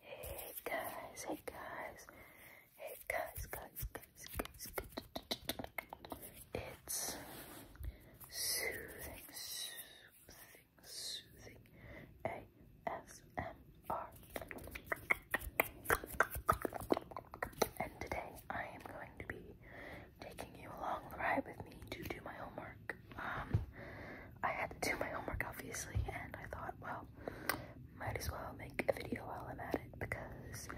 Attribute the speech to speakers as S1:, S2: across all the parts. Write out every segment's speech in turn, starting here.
S1: Hey guys, hey guys, hey guys, guys, guys, guys, guys. It's soothing, soothing, soothing ASMR.
S2: And today I am going to be taking you along the ride with me to do my homework. Um, I had to do my homework obviously, and I thought, well, might as well make a video while I'm at it because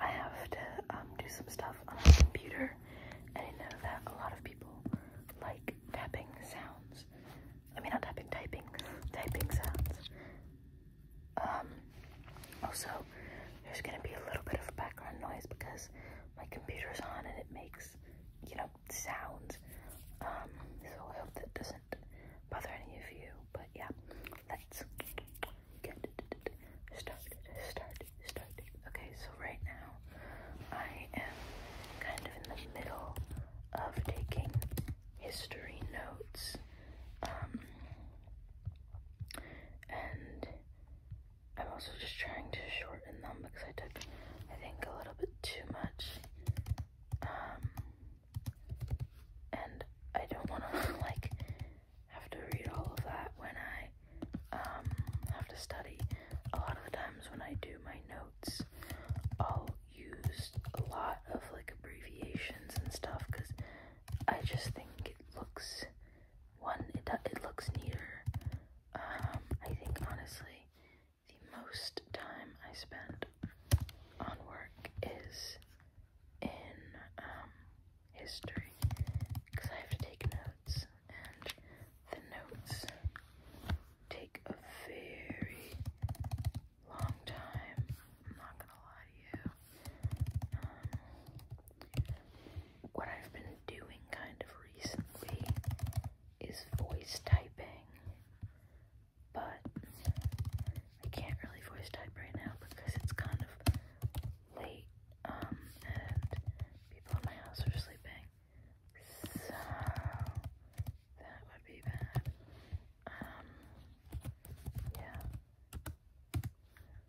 S2: I have to um, do some stuff on my computer. and I know that a lot of people like tapping sounds. I mean, not tapping, typing, typing sounds. Um, also, there's gonna be a little bit of background noise because my computer's on and it makes, you know, sounds. Um, so I hope that doesn't bother any of you. But yeah, let's get started, started, started. Okay, so right now I am kind of in the middle of taking history notes. Um, and I'm also just trying to shorten them because I took, I think, a little bit too much. Um, and I don't want to, like, have to read all of that when I, um, have to study. A lot of the times when I do my notes, I'll use a lot of, like, abbreviations and stuff because I just think it looks one it, it looks neater. Um, I think honestly, the most time I spend on work is in um, history because I have to take notes, and the notes take a very long time. I'm not gonna lie to you. Um, what I've been been doing kind of recently is voice typing, but I can't really voice type right now because it's kind of late um, and people in my house are sleeping, so that would be bad. Um, yeah.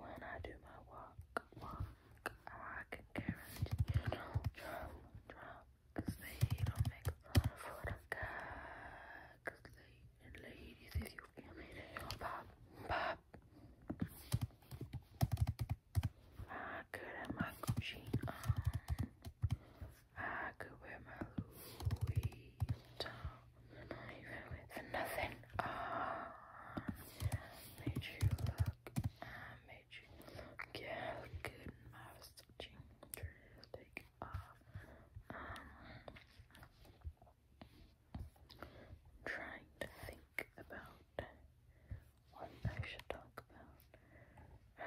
S2: When I do my walk, walk, I can guarantee you drum, drum, they don't make fun for the guy. ladies, if you feel me, they don't pop, pop. I could have my Gucci on. I could wear my Louis for nothing. Ah, made you look. I made you look. good. My trying to think about what I should talk about.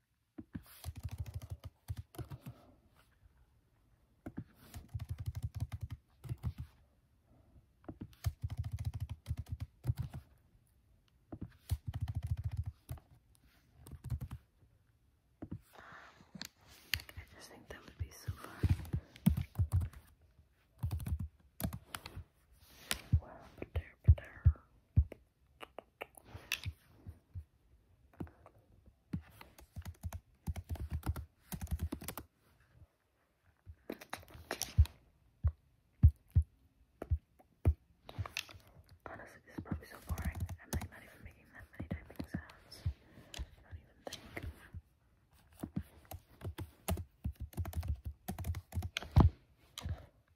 S2: I
S3: just think that would be so fun. Wow, but there, but there. Honestly, this is probably so boring. I'm like not even making that many typing sounds. I don't even think.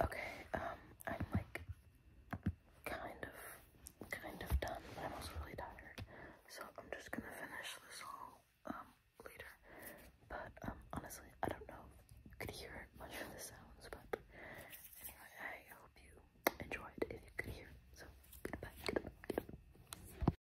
S4: Okay, um, I'm like kind of kind of done, I'm also really tired. So I'm just gonna finish this all um later. But um honestly I don't know could hear much of the sounds, but I hope you enjoyed if you could hear. So goodbye.